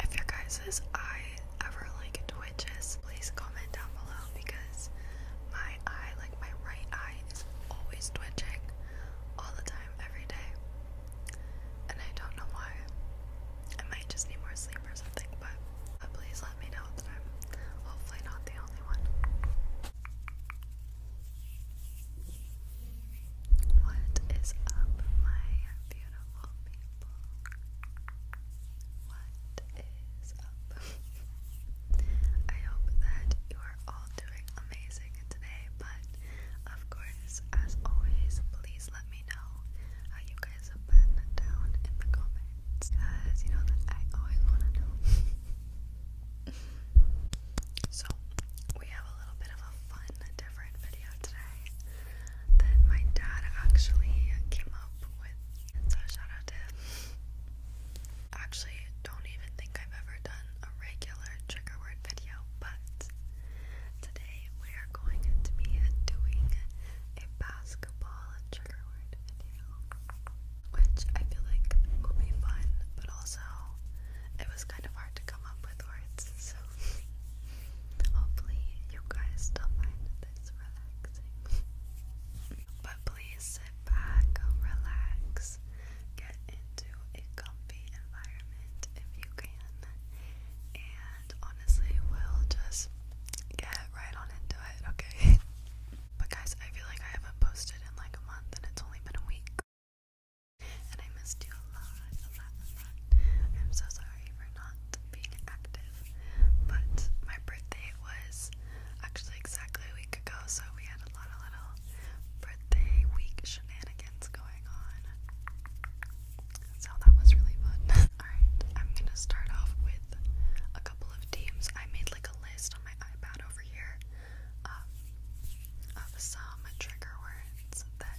If your guys' eye ever like twitches, please comment down below because my eye, like my right eye, is always twitching all the time, every day. And I don't know why. I might just need more sleep or something, but, but please let me know that I'm hopefully not the only one. What is up, my beautiful people? What is up? I hope that you are all doing amazing today, but of course, as always, please let me know how you guys have been down in the comments because you know that I always want to know. so, we have a little bit of a fun, different today that my dad actually came up with. so shout out to Actually, don't even think I've ever done a regular trigger word video, but today we are going to be doing a basketball trigger word video, which I feel like will be fun, but also it was kind of hard to come up with words, so hopefully you guys still find this relaxing. but please sit back, relax, get into a comfy environment if you can. And honestly, we'll just get right on into it, okay? but guys, I feel like I haven't posted in like a month and it's only been a week. And I missed you I'm so sorry for not being active, but my birthday was actually exactly a week ago, so we had a lot of little birthday week shenanigans going on. So that was really fun. alright, I'm gonna start off with a couple of teams. I made like a list on my iPad over here um, of some trigger words that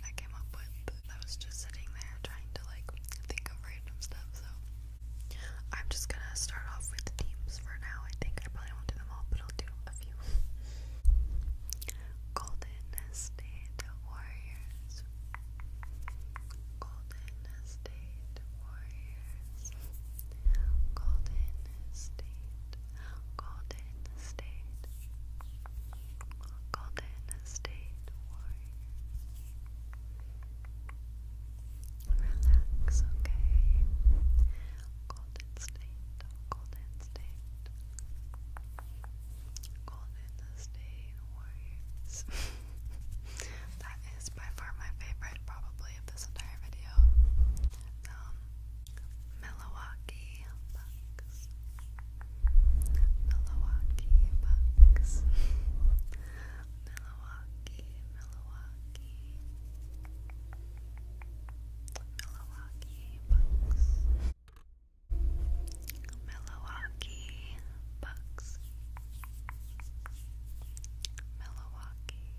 I came up with I was just sitting there trying to like think of random stuff, so I'm just gonna start off with the teams for now. I think I probably won't do them all, but I'll do a few. Golden State Warriors. Golden State Warriors. Golden State. Golden State. Golden State Relax, okay? Golden State, Golden State, Golden State Warriors. that is by far my favorite, probably, of this entire video. Um, Milwaukee. Bucks, Milwaukee Bucks, Milwaukee, Milwaukee, Milwaukee Bucks, Milwaukee Bucks, Milwaukee,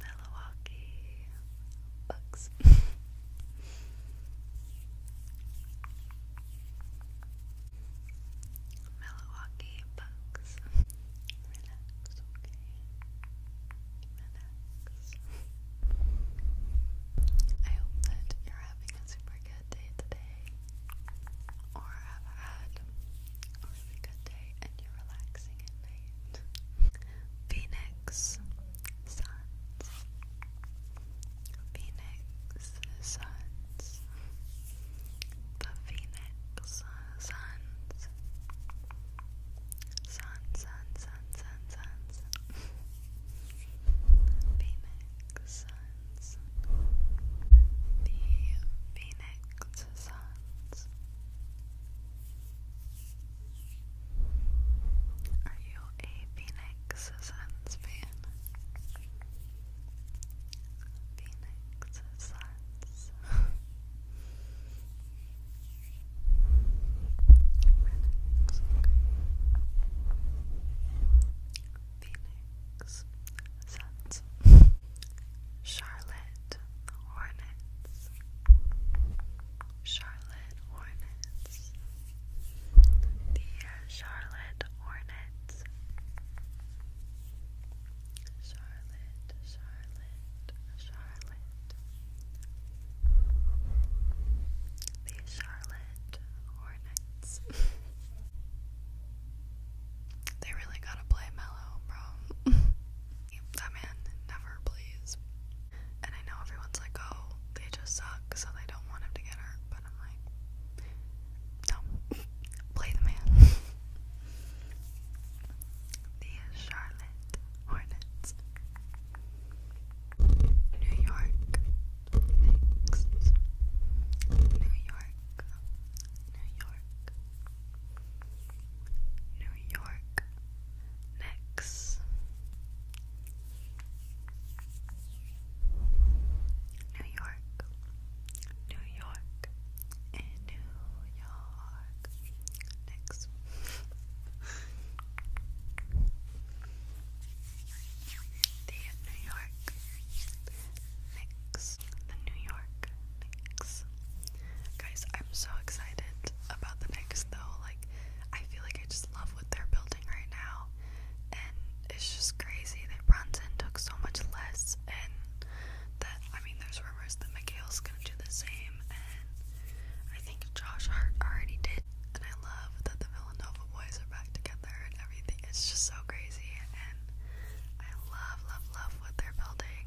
Milwaukee Bucks. Milwaukee Bucks. Relax, okay? Relax. I hope that you're having a super good day today, or have had a really good day and you're relaxing at night. Phoenix Sun Phoenix Suns, the Phoenix Suns, Sun, Sun, Sun, Sun, Suns, Phoenix Suns, the Phoenix Suns. Are you a Phoenix? Phoenix's Suns fan. Phoenix's Suns. Phoenix, okay. Charlotte Hornets. Charlotte Hornets the uh, Charlotte Hornets. Charlotte, Charlotte, Charlotte. The Charlotte Hornets. they really gotta play mellow, bro. that man never plays. And I know everyone's like, oh, they just suck, so they don't want him to get hurt but i no, play the man. New York Knicks. New York. New York. New York. Knicks. New York, New York, New York. Next. The New York Knicks. The New York Knicks. Guys, I'm so excited about the Knicks though. Like, I feel like I just love what they're building right now and it's just crazy that Brunson took so much less, and that I mean, there's rumors that Mikhail's gonna do the same, and I think Josh Hart already did. And I love that the Villanova boys are back together and everything. It's just so crazy, and I love, love, love what they're building.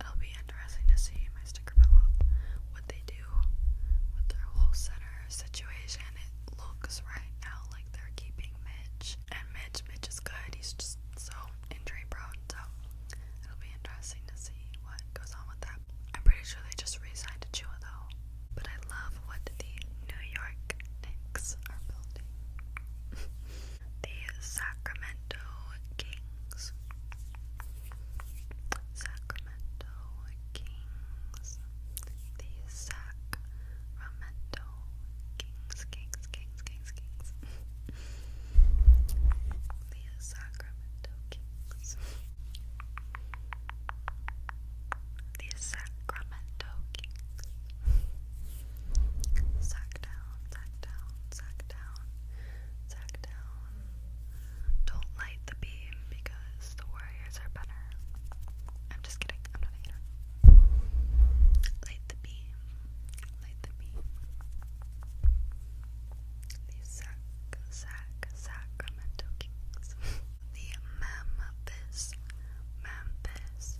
It'll be interesting to see my sticker bill up what they do with their whole center situation looks right now. Like they're keeping Mitch, and Mitch, Mitch is good. He's just so injury prone, so it'll be interesting to see what goes on with that. I'm pretty sure they just re-signed Chua though. But I love what the New York Knicks are building. the Sacramento Kings. Sacramento. Memento Kings. The Sacramento Kings, Kings, Kings, Kings, Kings. the Sacramento Kings. The Sacramento Kings. Sack down, sack down, sack down, sack down. Don't light the beam because the Warriors are better. I'm just kidding, I'm not a Light the beam. Light the beam. The Sac, Sac, Sacramento the Memphis, Memphis,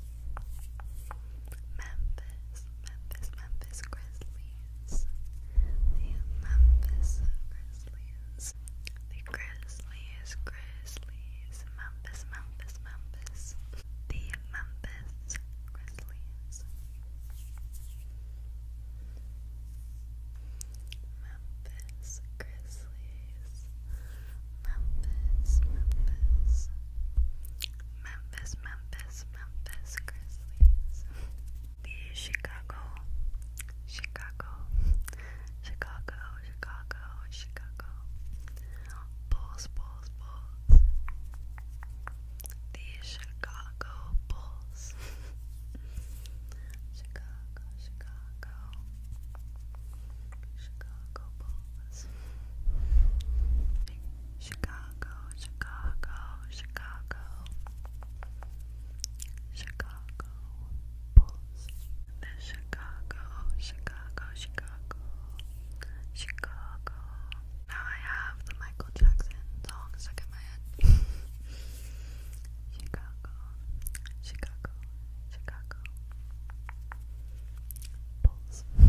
Memphis, Memphis, Memphis Grizzlies. The Memphis Grizzlies. The Grizzlies, Grizzlies, Memphis, Memphis, Memphis. The Memphis Grizzlies. Memphis Grizzlies. Memphis, Memphis. Memphis, Memphis, Memphis Grizzlies. The Chicago, Chicago, Chicago, Chicago, Chicago. Bulls, Bulls, Bulls. The Chicago Bulls. Chicago, Chicago. Chicago Bulls. Chicago, Chicago, Chicago. Chicago. Chicago Bulls. The Chicago, Chicago, Chicago, Chicago. Now I have the Michael Jackson song stuck in my head. Chicago, Chicago, Chicago. Bulls. The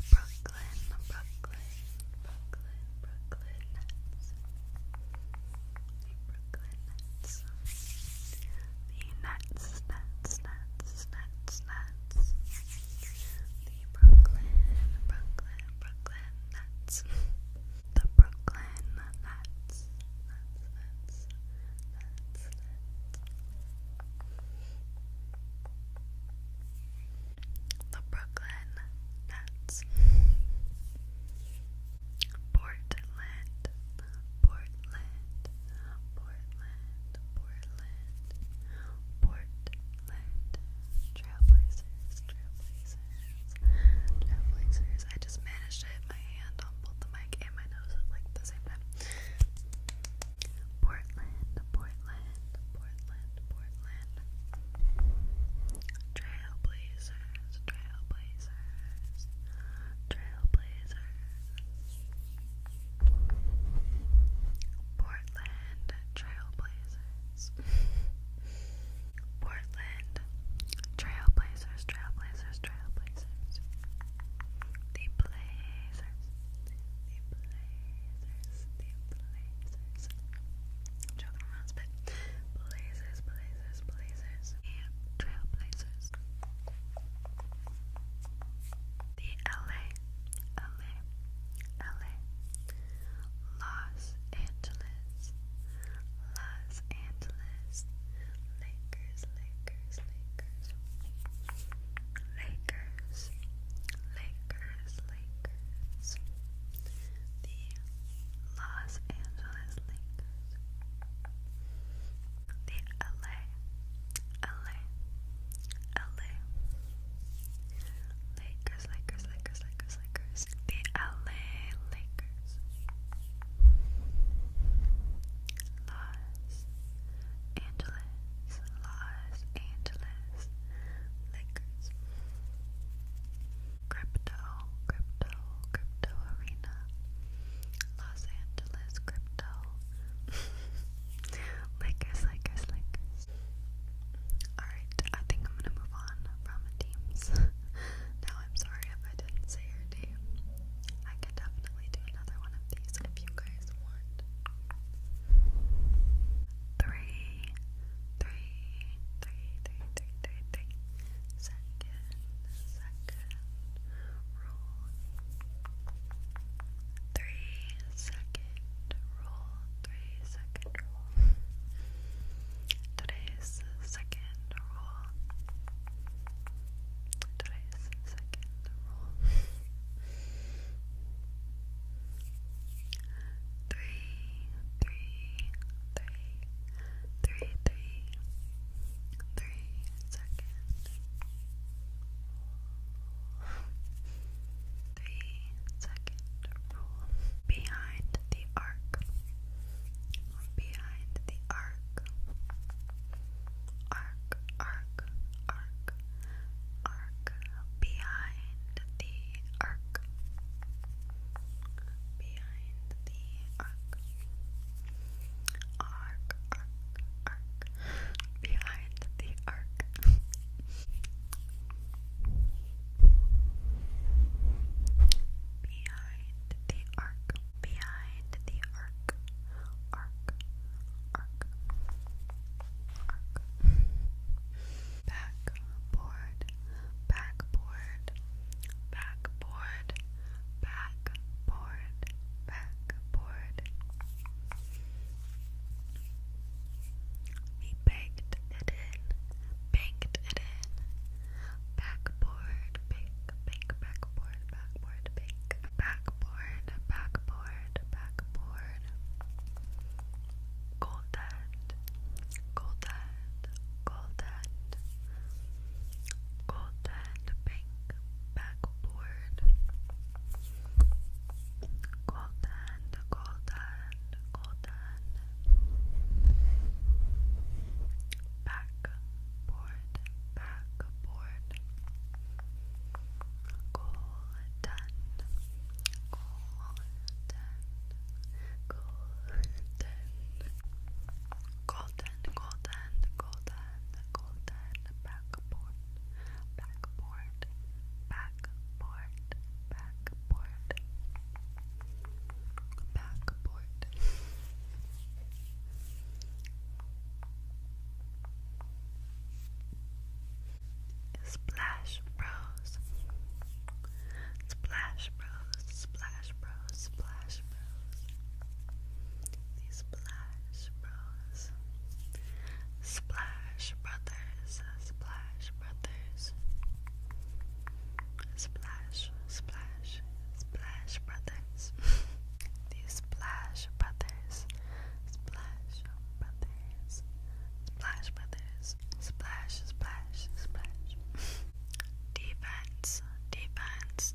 Brooklyn, Brooklyn, Brooklyn, Brooklyn Nets. Brooklyn Nets. The Brooklyn, Nets. The Nets. Nets, Nets, Nets, Nets. The Brooklyn Brooklyn Brooklyn Nets. The Brooklyn The Nets. Nets. Nets. Nets. The Brooklyn Nets. Portland, Portland, Portland, Portland, Portland, Trailblazers, Trailblazers, Trailblazers. I just managed to hit my hand on both the mic and my nose at like the same time. Portland, Portland, Portland, Portland, Trailblazers trailblazers, trailblazers, trailblazers. Portland trailblazers. Portland trailblazers, trailblazers, trailblazers. The blazers, the blazers, the blazers. I'm joking around, but blazers, blazers, blazers. Blazers and Trailblazers. The LA, LA, LA, Los Angeles, Los Angeles, Lakers, Lakers, Lakers, Lakers, Lakers, Lakers, the Los Angeles Lakers. The LA, Lakers, Lakers, Lakers, Lakers, Lakers. The LA Lakers. Los Angeles, Los Angeles, Lakers. Crypto, Crypto, Crypto Arena, Los Angeles Crypto, Lakers, Lakers, Lakers. Alright, I think I'm gonna move on from teams. now, I'm sorry if I didn't say your name. I can definitely do another one of these if you guys want. Three, three, three, three, three, three, three. Three, second, roll. Three, second, roll. Today's second roll. Today's second roll. Three, three, three, three, three, three seconds, three second rule behind the arc, behind the arc, arc, arc, arc, arc, behind the arc behind the arc. Arc, arc, arc. Behind the arc. behind the arc. Arc, arc, arc. Backboard backboard, backboard, backboard, backboard. We baked it in, baked it in. Backboard, bake, bake, backboard, backboard, bake, backboard, backboard, backboard. Golden, golden, golden, golden pink backboard, golden, golden, golden backboard, backboard, golden, golden. Golden, golden, golden, golden, golden backboard, backboard, backboard, backboard, backboard. Splash Bros. Splash Bros. Splash Bros. Splash Bros, the Splash Bros, Splash Brothers, Splash Brothers, Splash, Splash, Splash Brothers, the Splash Brothers, Splash Brothers, Splash Brothers, Splash, Splash, Splash. defense, defense.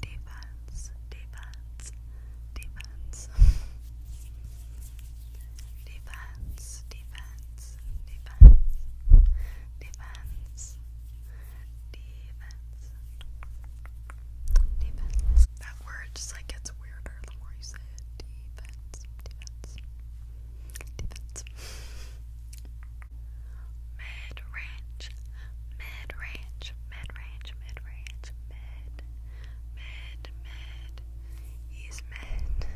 Defense, defense, defense. defense, defense, defense. Defense. Defense. That word just like gets weirder the more you say it. Defense. Defense. Defense mid range, mid range, mid range, mid range, mid, mid, mid. He's mid,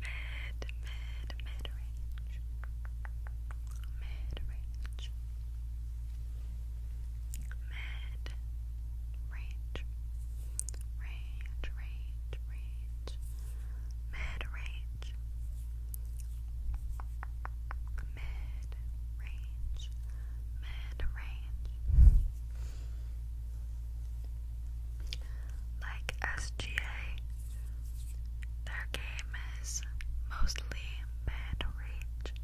mid, mid, mid range, mid range, mid range, range, range, range, mid range mid range, mid range. Like SGA, their game is mostly mid range,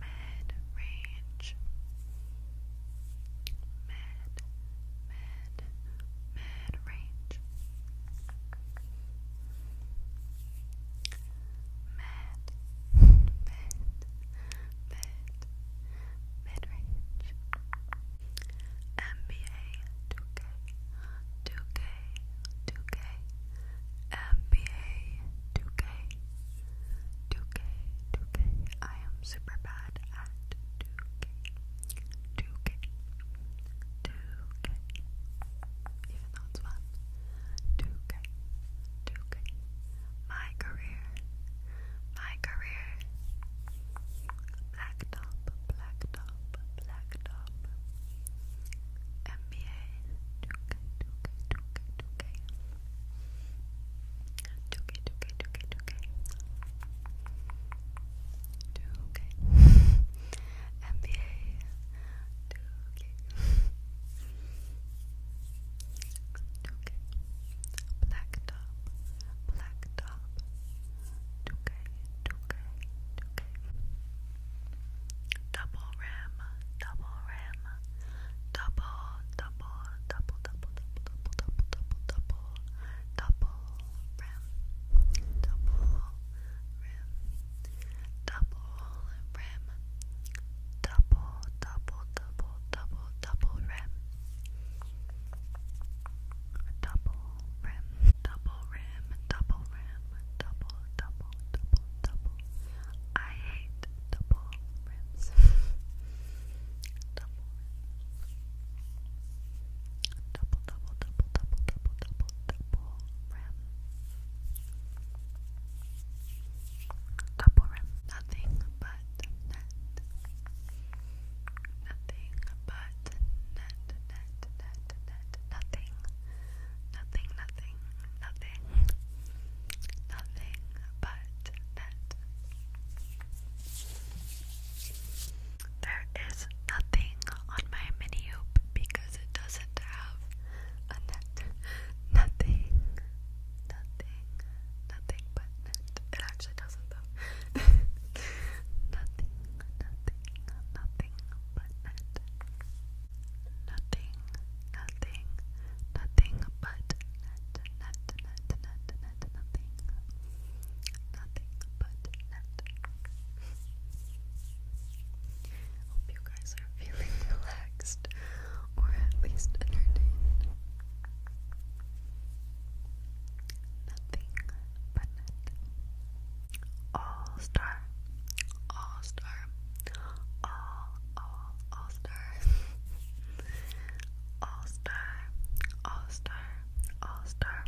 mid range, mid, mid, mid range mid, mid, mid, mid-range. NBA 2K, 2K, 2K, NBA 2K, 2K, 2K. I am super bad at 2K, 2K, 2K, even though it's fun. 2K, 2K. My career, my career. Black top, black top, 2K, 2K, 2K, 2K. 2K, 2K, 2K, 2K. 2 Okay. Okay. Black top. Black top. 2K, 2K, 2K. Double ram, double ram. Double, double, double, double, double, double, double, double, double, double Double ram double rim, double, double, double, double, double rim, double rim, double rim, double rim, double, double, double, double. I hate double rims. double. Double, double, double, double, double, double, double rim. Double Nothing but net. Nothing but net, net, net, net. Nothing, nothing, nothing. Nothing but net. There is nothing on my mini hoop because it doesn't have a net, nothing, nothing, nothing but net. It actually doesn't though. nothing, nothing, nothing but net. Nothing, nothing, nothing but net, net, net, net, net, nothing, nothing but net. Hope you guys are feeling relaxed or at least entertained. Nothing but All star. All star. All, all, all star. all star. All star. All star.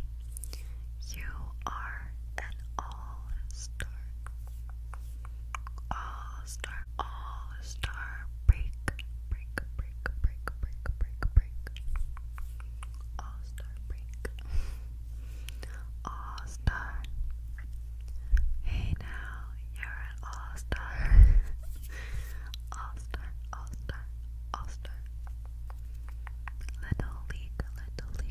You are an all all-Star All-Star All-Star break break break break break break break All-Star break All-Star Hey now you're an all-star All-Star All-Star All-Star Little League Little League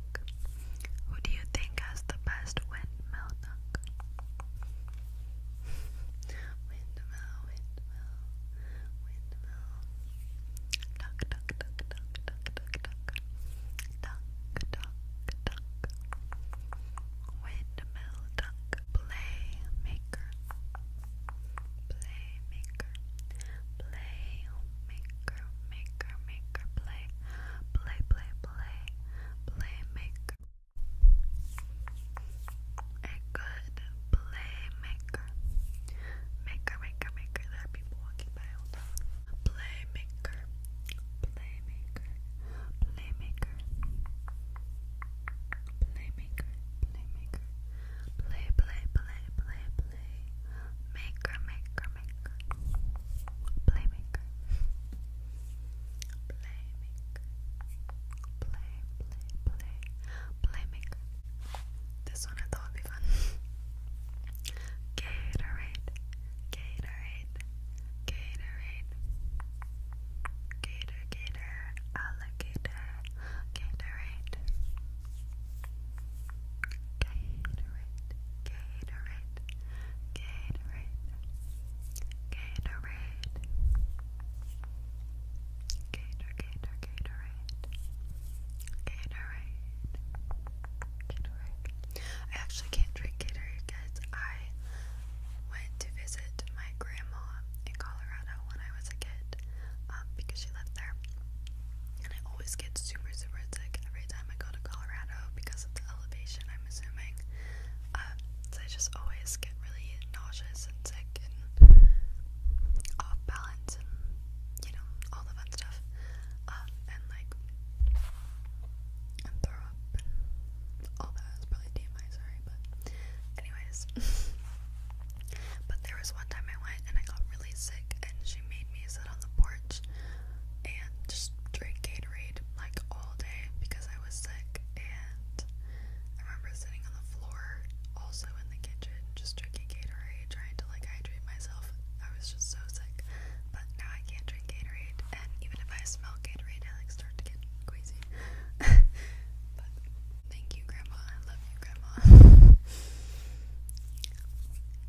Duck? Who do you think has the best windmill duck? windmill, windmill, windmill. Duck, duck, duck, duck, duck, duck, duck. Duck, duck, duck. Windmill duck. Playmaker. Playmaker. Play maker maker maker play play play play playmaker. A good playmaker. Maker, maker, maker. There are people walking by all the Playmaker. Playmaker. Playmaker. Playmaker. Playmaker. Play, play, play, play, play. Maker, maker, maker. Playmaker. Playmaker. Play, play, play. Playmaker. This one I thought would be fun. Gatorade. Gatorade. Gatorade. Gator, gator. Alligator. Gatorade. Gatorade. Gatorade. Gatorade, Gatorade, Gator, Gator, Gatorade, Gatorade, I actually can't drink Gatorade, guys. I went to visit my grandma in Colorado when I was a kid um, because she lived there. And I always get super, super sick every time I go to Colorado because of the elevation I'm assuming. Uh, so I just always get really nauseous and sick and off balance and you know all the fun stuff. Um, and like and throw up and all that. It's probably TMI, sorry, but anyways. but there was one time I went and I got really sick and she made me sit on the porch and just drink Gatorade like all day because I was sick and I remember sitting on the floor also in the kitchen just drinking Gatorade trying to like hydrate myself. I was just so sick. But now I can't drink Gatorade and even if I smell Gatorade I like start to get queasy. but thank you grandma. I love you grandma.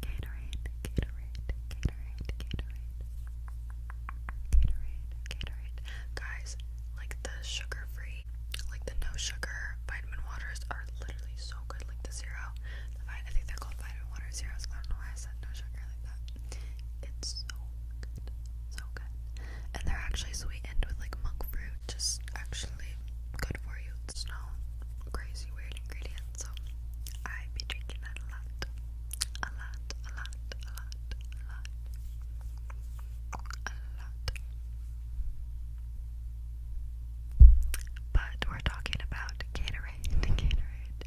Gatorade, Gatorade. Gatorade, Guys, like the sugar-free, like the no sugar vitamin waters are literally so good. Like the zero, I think they're called vitamin water zeros. I don't know why I said no sugar like that. It's so good, so good. And they're actually sweetened with like monk fruit, just actually good for you. It's no crazy weird ingredients, so I be drinking that a lot a lot, But we're talking about Gatorade, Gatorade,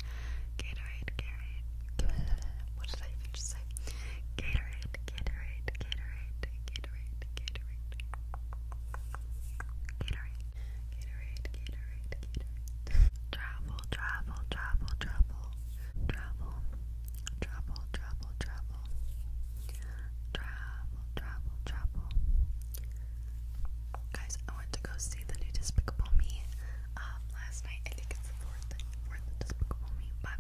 Gatorade, Gatorade. What did I just say? Gatorade, Gatorade, Gatorade, Gatorade, Gatorade, Gatorade, Gatorade. Gatorade, Gatorade. Travel, travel, travel, travel. Travel, travel, travel, travel. Travel, travel, travel. Guys, I went to go see the new Despicable Me um, last night. I think it's the fourth, fourth Despicable Me, but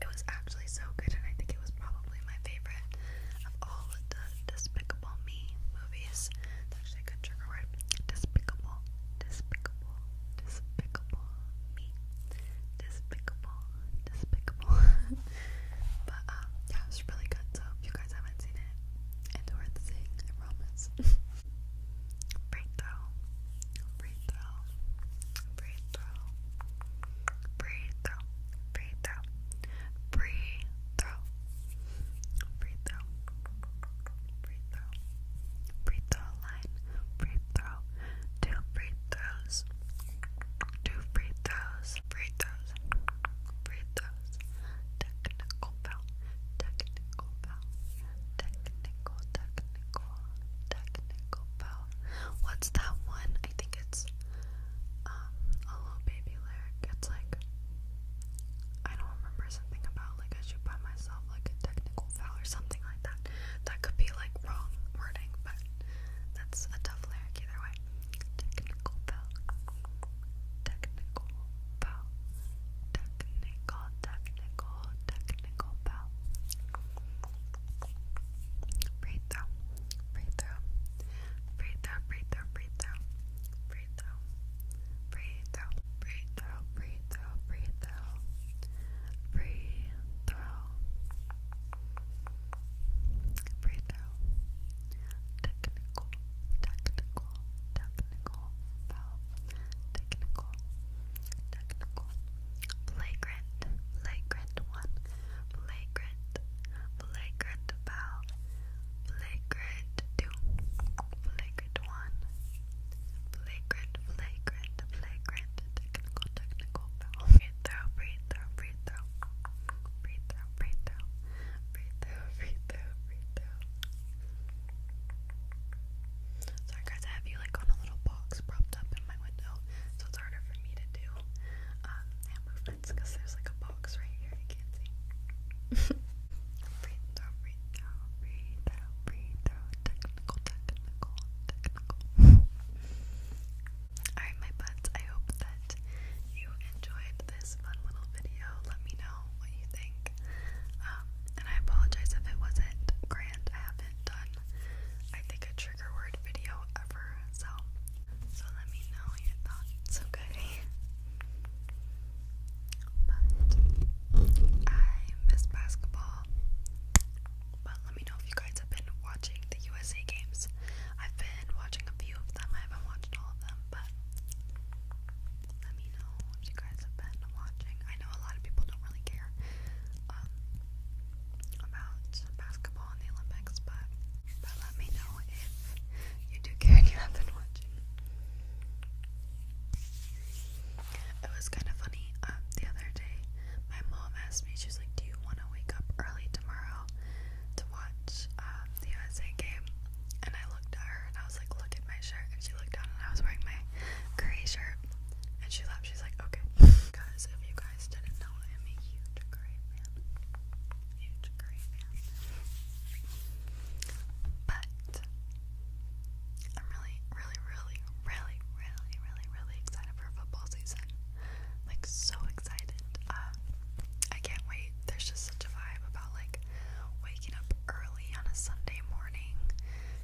it was actually so good, and I think it was probably my favorite of all of the Despicable Me movies that actually a trigger word. Despicable, despicable, despicable me. Despicable, despicable. but um, yeah, it's really good. So if you guys haven't seen it, it's worth seeing. promise. break throw, break throw, break throw, break throw, break throw, break throw, break throw. Free throw. line. Free throw. Two free throws. Two free throws. Free throws. Free throws. Technical foul. Technical foul. Technical, technical, technical foul. What's that one? I think it's um a little baby lyric. It's like I don't remember something about like I shoot by myself like a tech technical foul or something like that. That could be like wrong wording, but that's a tough lyric either way. Technical foul, technical foul, technical, technical, technical foul. Breathe through, breathe through, breathe through, breathe through, breathe through, breathe through, breathe through, breathe through, throw, free throw, free throw, free technical, technical, technical foul, technical, technical, flagrant, flagrant one, flagrant, flagrant foul, flagrant two, flagrant one. Flagrant, flagrant, flagrant, technical, technical Breathe through, breathe through, breathe through. Breathe through, breathe through. Breathe through, breathe through, breathe through. Sorry guys, I have you like on a little box propped up in my window, so it's harder for me to do um, hand movements because there's like a box right here, you can't see. breathe through, breathe breathe out, breathe out, Technical, technical, technical. Alright, my buds, I hope that you enjoyed this fun little video. Let me know what you think. Um, and I apologize if it wasn't grand. I haven't done, I think, a trigger word video ever. So, so let me know your thoughts, okay? But I miss basketball. But let me know if you guys have been watching the USA games. I've been watching a few of them. I haven't watched all of them, but let me know if you guys have been watching. I know a lot of people don't really care um, about basketball in the Olympics, but but let me know if you do care and you have been watching. It was kind of funny. Um, the other day, my mom asked me, she's like, "Do you want to wake up early tomorrow to watch um, the USA game?" And I looked at her and I was like, "Look at my shirt." And she looked down and I was wearing my gray shirt. And she laughed. She's like, "Okay." Because if you guys didn't know, I am a huge gray fan. Huge gray fan. But I'm really, really, really, really, really, really, really excited for football season. Like so excited. Uh, I can't wait. There's just such a vibe about like waking up early on a Sunday morning.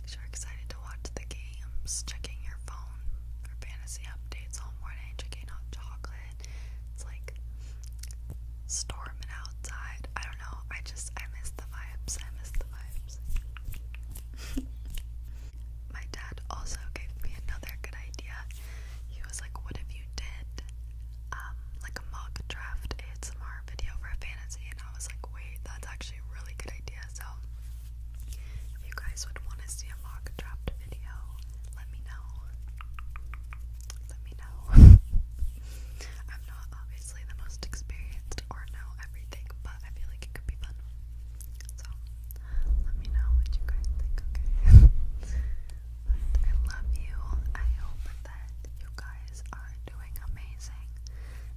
Cause you're excited to watch the games, checking your phone for fantasy updates all morning, checking out chocolate. It's like storming outside. I don't know. I just I miss the vibes. I miss the vibes. My dad also gave me another good idea. He was like, What have you did um, like a mock draft ASMR video for a fantasy? And I was like, Wait, that's actually a really good idea. So if you guys would want to see a mock draft video, let me know. Let me know. I'm not obviously obviously the most experienced or know everything, but I feel like it could be fun. So let me know what you guys think, okay? I love you. I hope that you guys are doing amazing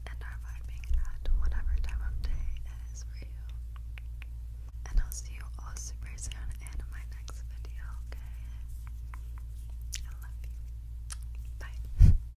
and are vibing at whatever time of day it is for you. And I'll see you all super soon in my next video, okay? I love you. Bye.